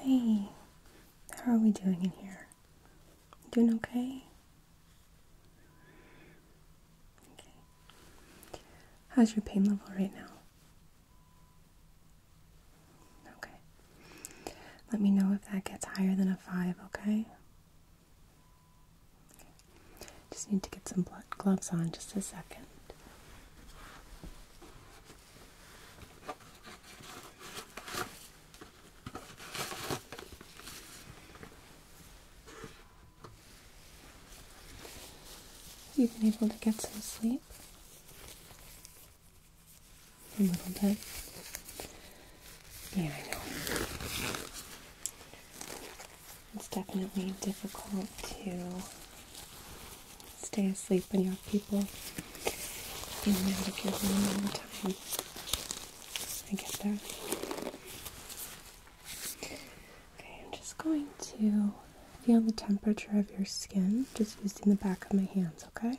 Hey, how are we doing in here? Doing okay? Okay. How's your pain level right now? Okay. Let me know if that gets higher than a 5, okay? Just need to get some gloves on just a second. You've been able to get some sleep a little bit. Yeah, I know. It's definitely difficult to stay asleep when you have people in and out of your room all the time. I get that. Okay, I'm just going to feel the temperature of your skin just using the back of my hands, okay?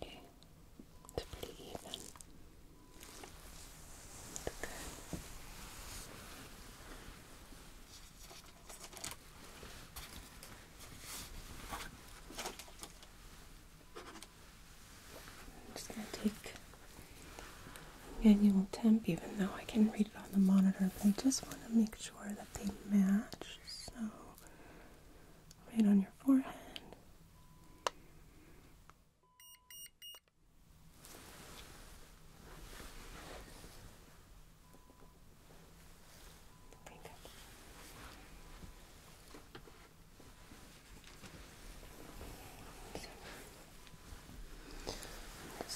Okay, it's pretty even. It's good. I'm just going to take manual temp, even though I can read it on the monitor, but I just want to make sure that they match. So, right on your forehead. I'm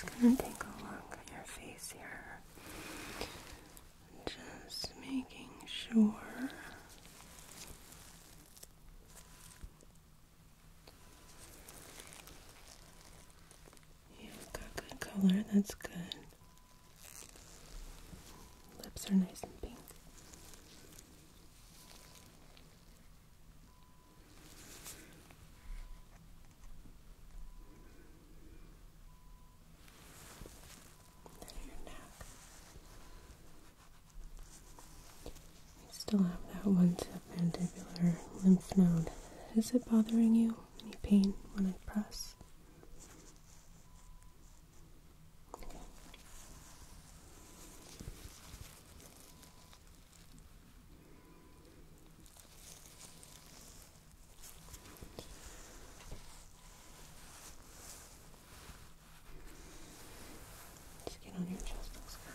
just gonna take a look at your face here. Just making sure. You've got good color, that's good. Lips are nice and pink. Then your neck. You still have that one submandibular lymph node. Is it bothering you? Any pain when I press? Cool. Skin on your chest looks good.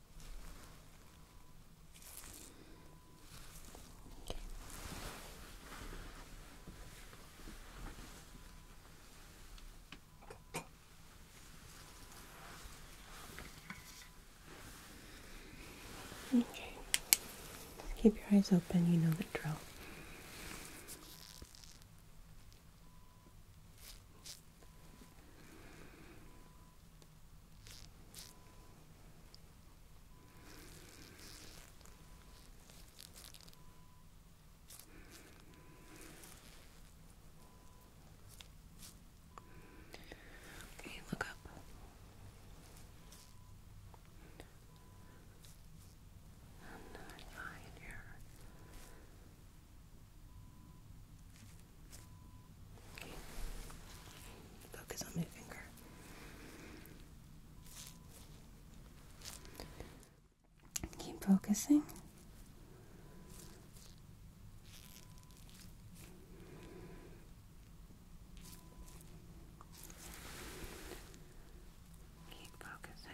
Okay. Keep your eyes open, you know the drill. Okay, look up. Another eye in here. Focus on my finger. Keep focusing. Keep focusing.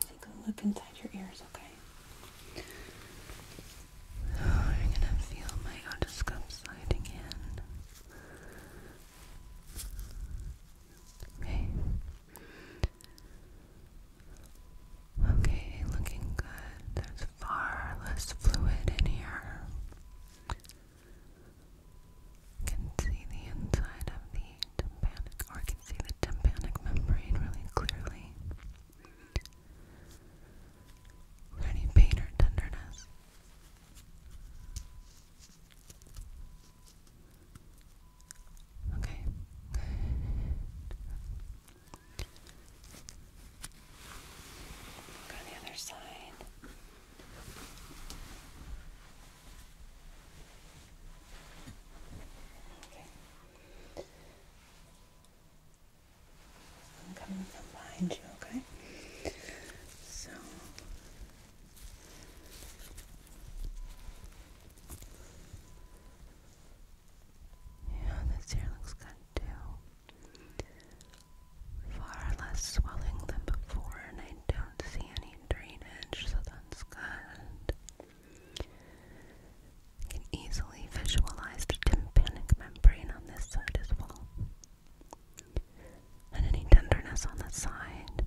Take a look inside your ears, okay? I'm oh, gonna feel my otoscope sliding in. Okay. Okay, looking good. There's far less fluid in here. You can see the inside of the tympanic, or can see the tympanic membrane really clearly. any pain or tenderness? Okay. Go the other side. Okay. I'm coming from behind you, okay? So yeah, this here looks good too. Far less swelling than before, and I don't see any drainage, so that's good. You easily visualize tympanic membrane on this side as well. And any tenderness on the side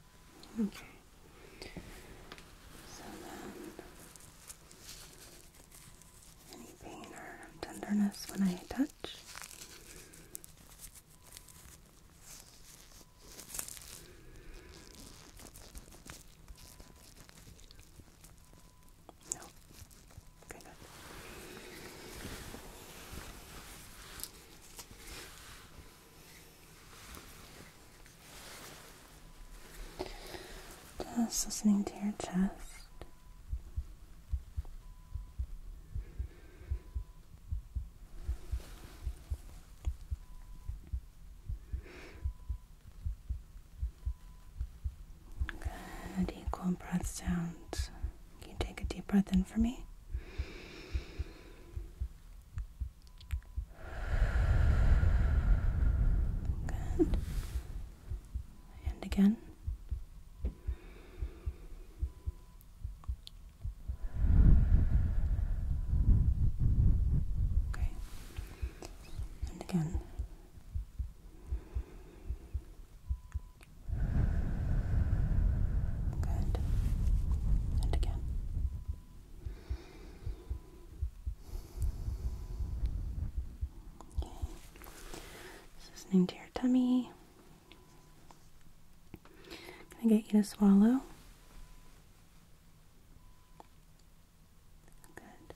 Okay. So then, any pain or tenderness when I touch? No. Okay, good. Just listening to your chest. Good, equal breath sounds. Can you take a deep breath in for me? Good. And again. Okay. And again. Good. And again. Okay. Just listening to your tummy. gonna get you to swallow. Good.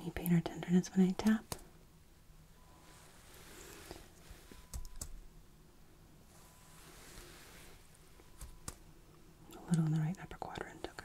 Any pain or tenderness when I tap? A little in the right upper quadrant, okay.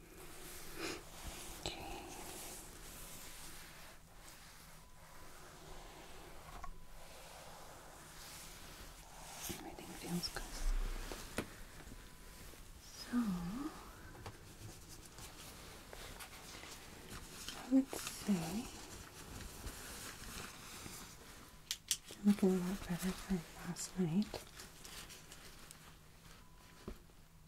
Everything feels good. So I would say I'm looking a lot better than last night.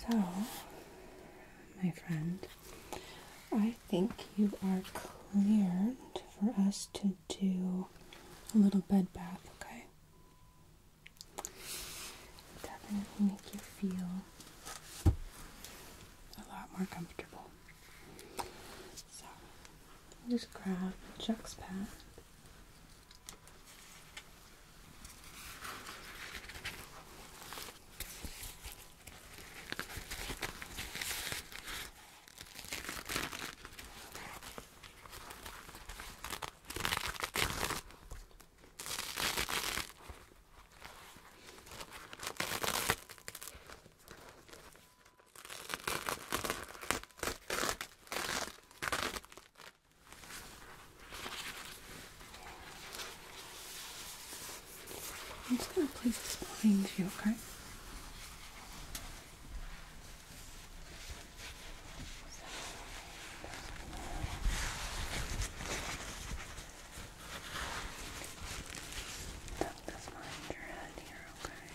So, my friend, I think you are cleared for us to do a little bed bath, okay? Definitely make you feel a lot more comfortable. So, just grab Chuck's pad. I'm just going to place this behind you, okay? Tuck this behind your head here, okay?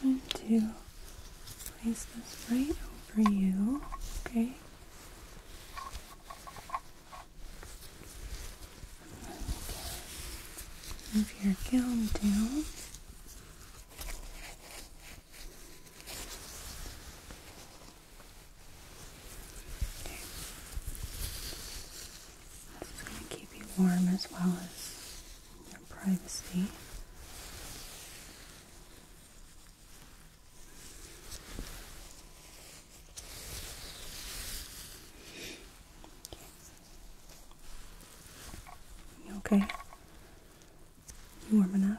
I'm just going to place this right over you, okay? Move your gown down. This is keep you warm as well as your privacy okay? You warm enough?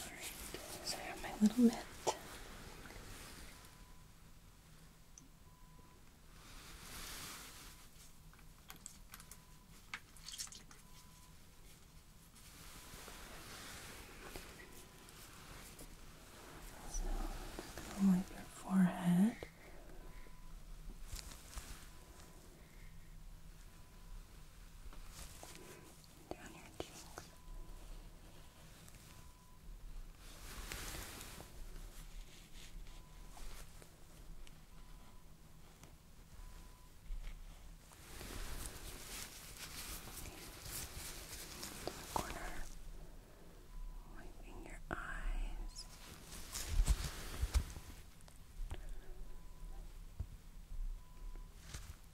Alright, so I have my little mitt. So I'm gonna wipe your forehead down your cheeks. Okay. Corner, wiping your eyes.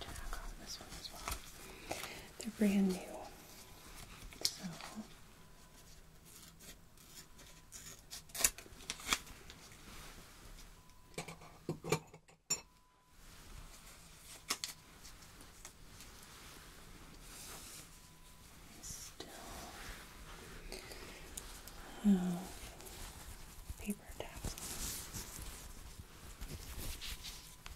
tack on this one as well. They're brand new. So Still um, paper tabs.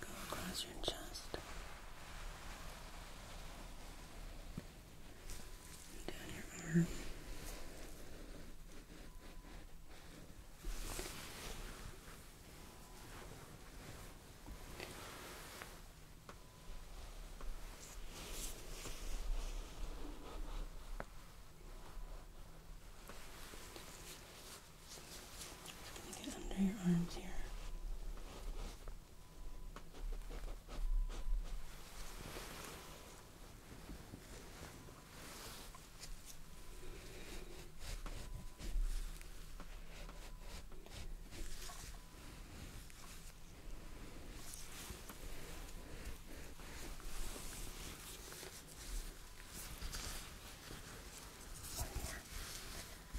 Gonna go across your chest. And down your arm. Trying to get under your arms here. One more.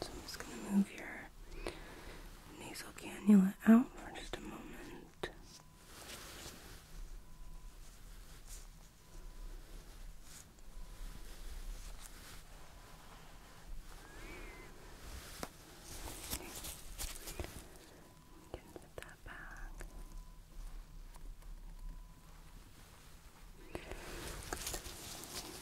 So I'm just going to move your nasal cannula out for just a moment. Okay. that back.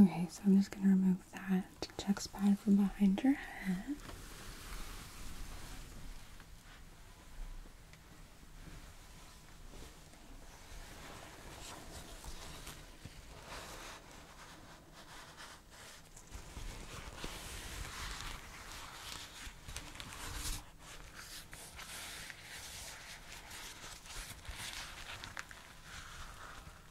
Okay, so I'm just going to remove that check spot from behind your head.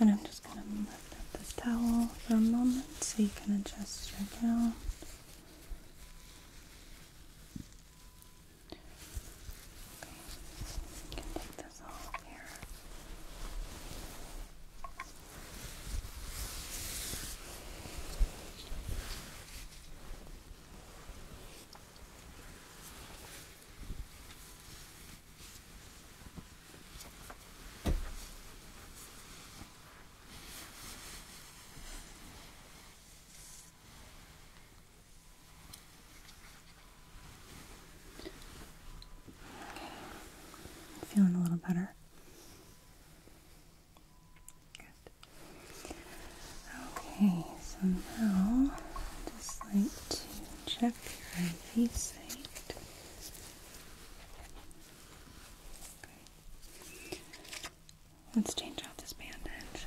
And I'm just going to lift up this towel for a moment so you can adjust your gown. Okay. take this off here. Okay. Feeling a little better. Okay, so now I'd just like to check your IV site. Okay. Let's change out this bandage.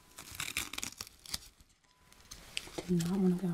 Did not want to go.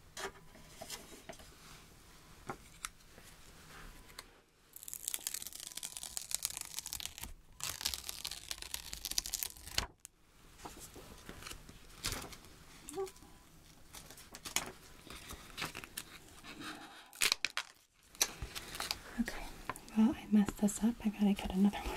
Okay, well, I messed this up. I gotta get another one.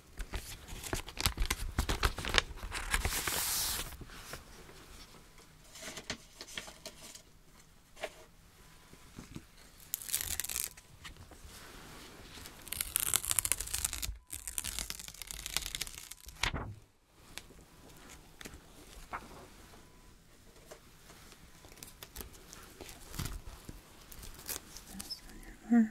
This on your arm.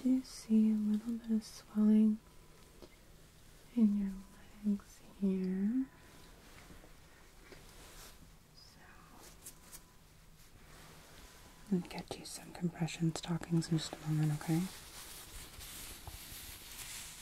Do you see a little bit of swelling in your legs here. So, i get you some compression stockings in just a moment, okay?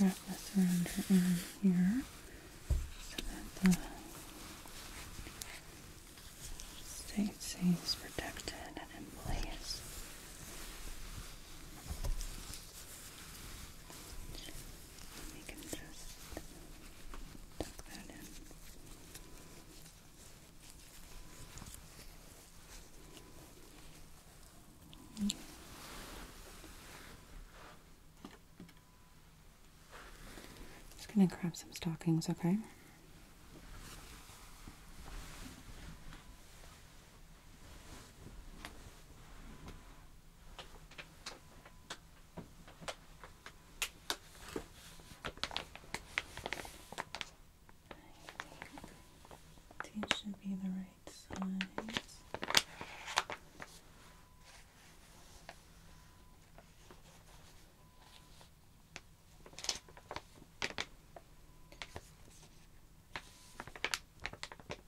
Wrap this around her arm here so that the safety is protected and in place we can just gonna grab some stockings, Okay these should be the right size.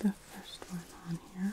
the first one on here.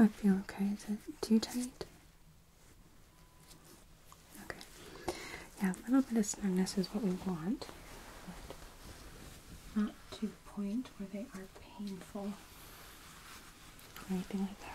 I feel okay. Is it too tight? Okay. Yeah, a little bit of snugness is what we want. Not to the point where they are painful or anything like that.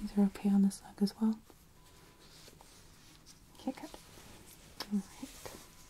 These are okay on this leg as well. Okay, good. All right.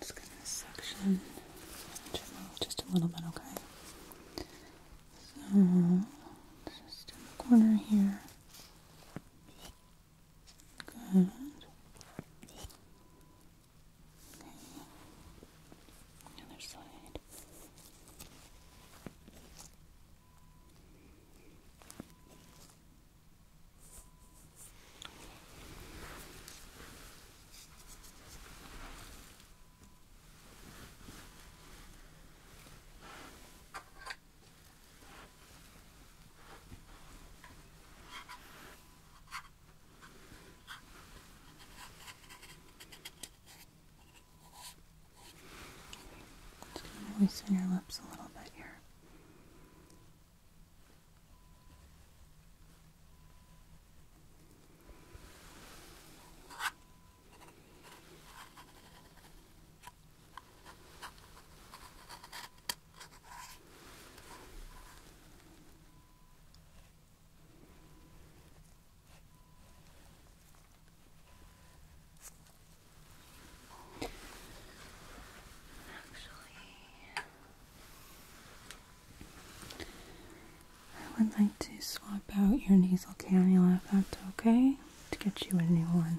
just going to section just a little bit, okay? So, just in the corner here. Good. Okay. Other side. Okay. Just gonna moisten your lips a little bit here. I would like to swap out your nasal cannula if that's okay to get you a new one.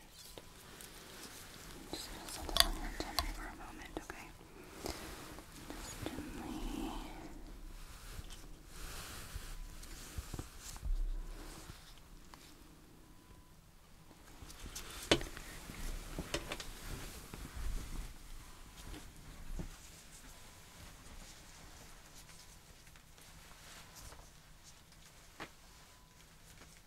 first. just gonna set this for a moment, okay? Just gently.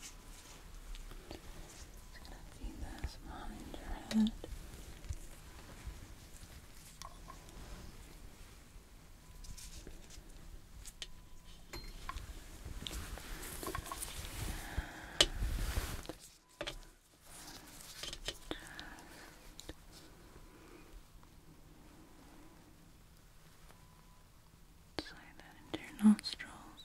Just gonna feed this behind your head. Just Slide that into your nostrils.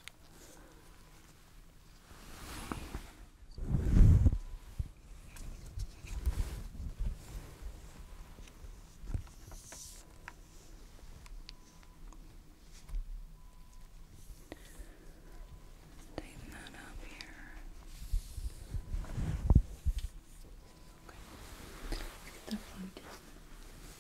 Take that up here. Okay. Get the focus.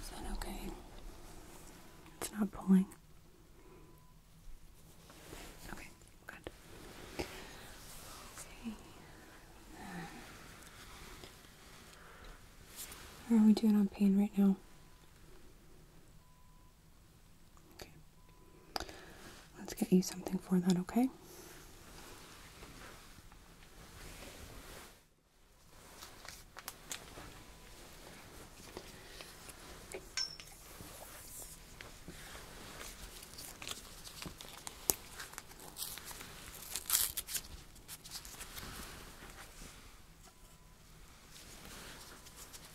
Is that okay? It's not pulling. Okay, good. Okay. How are we doing on pain right now? Let's get you something for that, okay?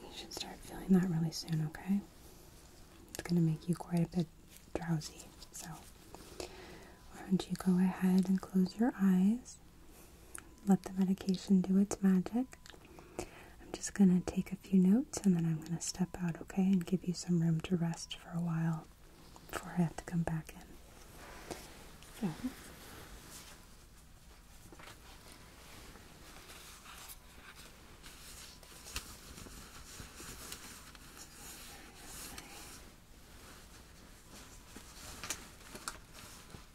You should start feeling that really soon, okay? It's going to make you quite a bit drowsy. So, why don't you go ahead and close your eyes? Let the medication do its magic. I'm just going to take a few notes and then I'm going to step out, okay, and give you some room to rest for a while before I have to come back in.